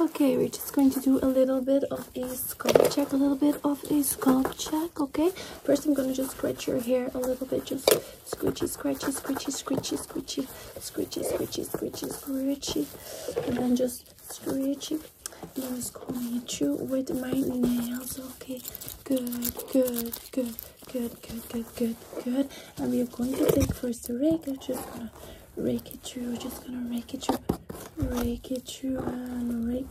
okay we're just going to do a little bit of a scalp check a little bit of a scalp check okay first i'm going to just scratch your hair a little bit just scratchy, scratchy, scratchy, scratchy, scratchy, scratchy, scratchy, scratchy, scratchy, and then just scratchy. Now scratch you with my nails okay good good good good good good good good and we're going to take first a rake rake it through. just gonna rake it through, rake it through, and rake,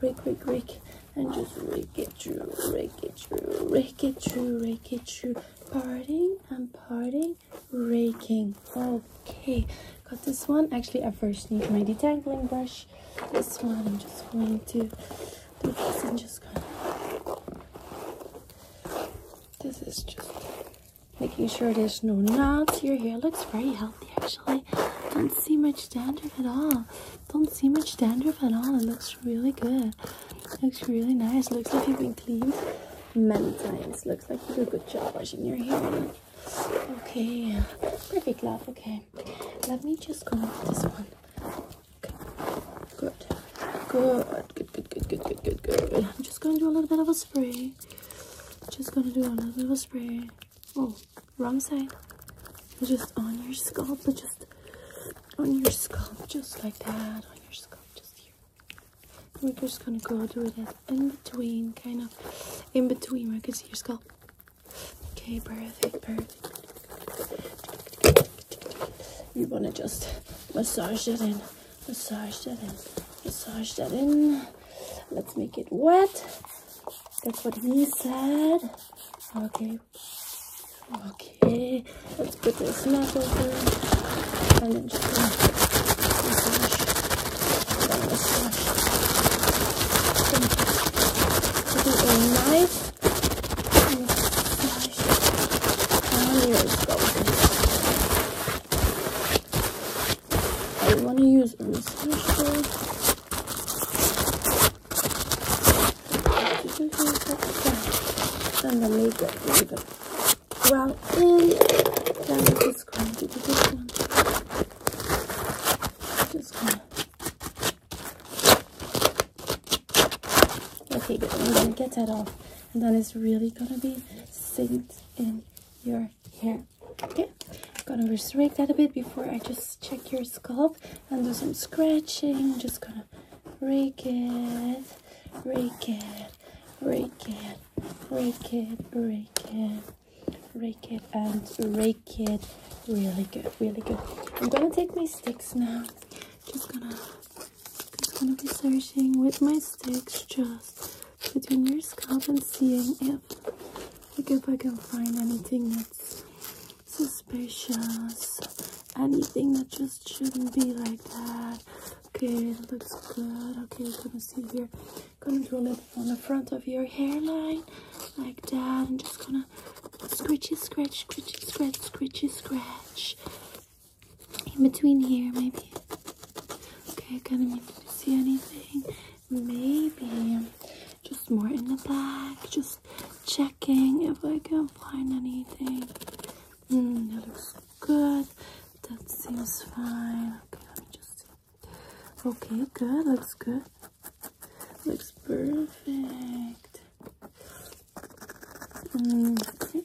rake, rake, rake, and just rake it through, rake it through, rake it through, rake it through. Parting and parting, raking. Okay, got this one. Actually, I first need my detangling brush. This one, I'm just going to do this and just kind of. This is just making sure there's no knots. Your hair looks very healthy actually. Don't see much dandruff at all. Don't see much dandruff at all. It looks really good. It looks really nice. Looks like you've been cleaned many times. Looks like you do a good job washing your hair. Okay, perfect love. Okay, let me just go with this one. Okay, good. Good, good, good, good, good, good, good, good. I'm just going to do a little bit of a spray just gonna do another little spray oh wrong side just on your scalp but just on your scalp just like that on your scalp just here we're just gonna go do that in between kind of in between where i can see your scalp okay perfect perfect you want to just massage it in massage that in, massage that in. Let's make it wet. That's what he said. Okay. Okay. Let's put this mat over. And then just massage. Then massage. Put it in nice. Massage. And here it I want to use Ernest Hemsworth. Then the makeup, makeup. Wow, in. just going to this one. Okay, good. I'm gonna get that off and then it's really gonna be synced in your hair okay I'm gonna restrict that a bit before I just check your scalp and do some scratching just gonna rake it rake it rake it rake it rake it rake it and rake it really good really good I'm gonna take my sticks now just gonna I'm going to be searching with my sticks just between your scalp and seeing if like if I can find anything that's suspicious anything that just shouldn't be like that okay it looks good okay we're gonna see here gonna draw it on the front of your hairline like that and just gonna scratchy scratch scratchy scratch scratchy scratch in between here, maybe. Okay, I kind of need to see anything. Maybe just more in the back, just checking if I can find anything. Mm, that looks good. That seems fine. Okay, let me just see. Okay, good. Looks good. Looks perfect. Mm, okay.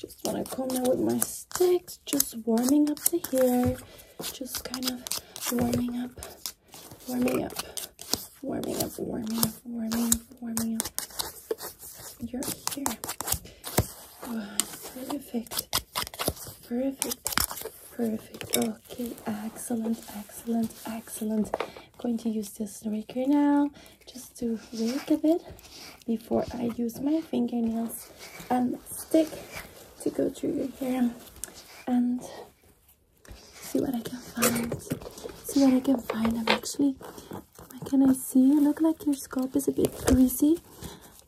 Just want to come in with my sticks, just warming up to here. just kind of warming up, warming up, warming up, warming up, warming up, warming up your hair. perfect, perfect, perfect. Okay, excellent, excellent, excellent going to use this raker now just to rake a bit before I use my fingernails and stick to go through your hair and see what I can find. See what I can find. I'm actually, can I see? look like your scalp is a bit greasy.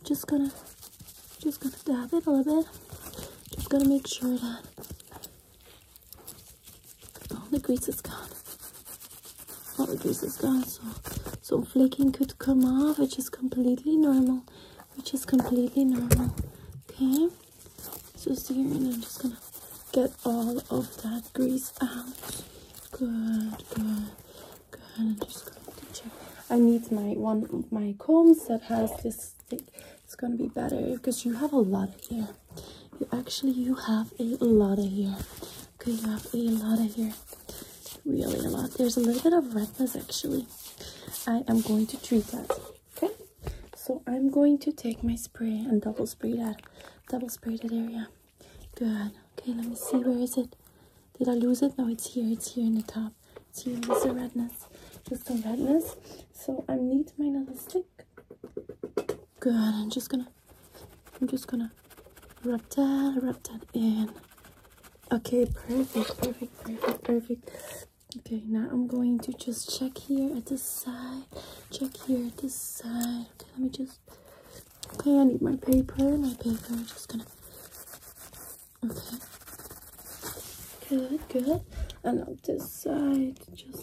Just gonna, just gonna dab it a little bit. Just gonna make sure that all the grease is gone. All the grease is gone. So, some flaking could come off, which is completely normal. Which is completely normal. Okay. So here, and I'm just gonna get all of that grease out. Good, good, good. I'm just going to check. I need my one my combs that has this it's gonna be better because you have a lot of hair. You actually you have a lot of hair. Okay, you have a lot of hair. Really a lot. There's a little bit of redness actually. I am going to treat that. Okay? So I'm going to take my spray and double spray that. Double spray that area. Good. Okay, let me see where is it? Did I lose it? No, it's here. It's here in the top. See, here. a redness. Just a redness. So I need my little stick. Good. I'm just gonna, I'm just gonna wrap that, wrap that in. Okay, perfect, perfect, perfect, perfect. Okay, now I'm going to just check here at this side. Check here at this side. Okay, let me just. Okay, I need my paper. My paper. just gonna. Okay. Good, good. And on this side, just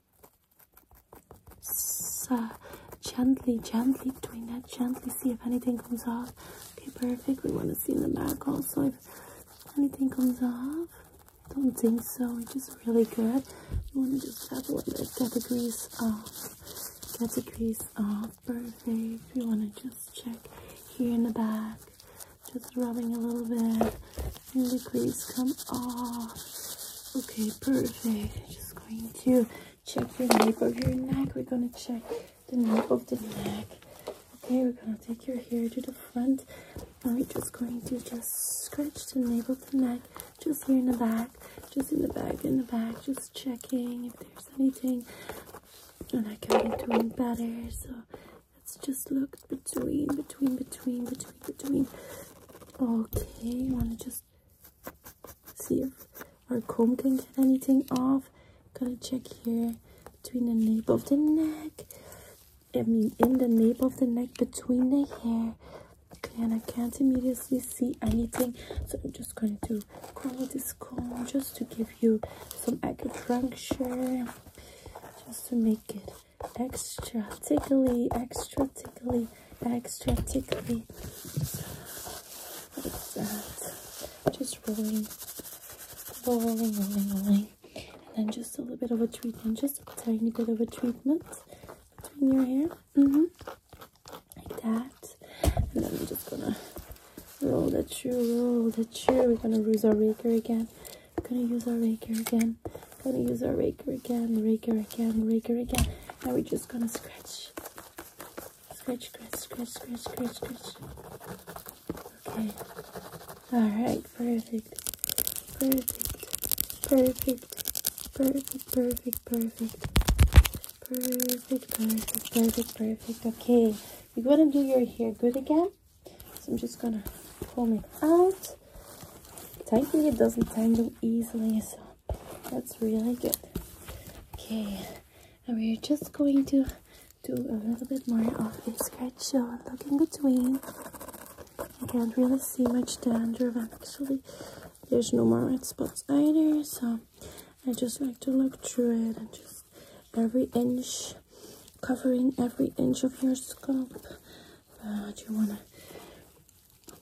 so, gently, gently doing that, gently see if anything comes off. Okay, perfect. We want to see in the back also if anything comes off. Don't think so, It is really good. We want to just tap a little bit, get the grease off. Get the grease off, perfect. We want to just check here in the back. Just rubbing a little bit and the grease come off. Okay, perfect. Just going to check your nape of your neck. We're going to check the nape of the neck. Okay, we're going to take your hair to the front. And we're just going to just scratch the nape of the neck. Just here in the back. Just in the back, in the back. Just checking if there's anything. And I can be doing better. So Let's just look between, between, between, between, between. Okay, I want to just see if our comb can get anything off. going to check here between the nape of the neck. I mean, in the nape of the neck, between the hair. Okay, and I can't immediately see anything, so I'm just going to do comb this comb just to give you some acupuncture, just to make it extra tickly, extra tickly, extra tickly. What is that? Just rolling, rolling, rolling, rolling. And then just a little bit of a treatment, just a tiny bit of a treatment between your hair. hmm Like that. And then we're just gonna roll that chair, roll that chair. We're gonna use our raker again. I'm gonna use our raker again. I'm gonna use our raker again, raker again, raker again. Now we're just gonna scratch. Scratch, scratch, scratch, scratch, scratch, scratch. Okay. Alright, perfect. Perfect. Perfect. Perfect, perfect, perfect. Perfect, perfect, perfect, perfect. Okay. You're gonna do your hair good again. So I'm just gonna pull it out. Tightly, it doesn't tangle easily, so that's really good. Okay, and we're just going to do a little bit more of a scratch show and look in between. I can't really see much dandruff and actually there's no more red spots either, so I just like to look through it and just every inch, covering every inch of your scalp uh, you want to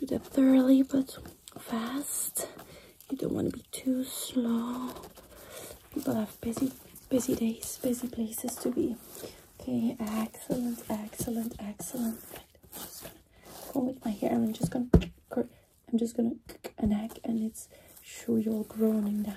do that thoroughly but fast you don't want to be too slow people have busy busy days busy places to be okay excellent excellent excellent i'm just gonna go with my hair i'm just gonna i'm just gonna neck and it's sure you're groaning down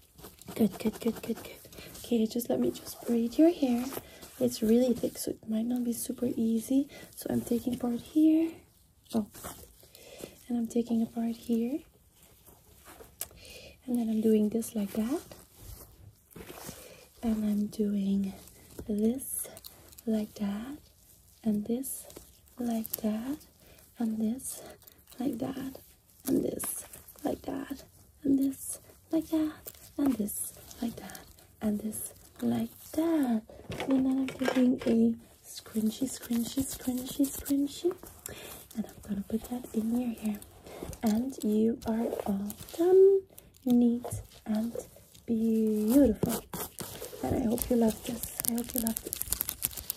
Good, good, good, good, good. Okay, just let me just braid your hair. It's really thick, so it might not be super easy. So I'm taking part here. Oh, and I'm taking apart here. And then I'm doing this like that. And I'm doing this like that. And this like that. And this like that and this like that and this like that and this like that and this like that and then I'm taking a scrunchy scrunchy scrunchy scrunchy and I'm gonna put that in your hair and you are all done neat and beautiful and I hope you love this I hope you love this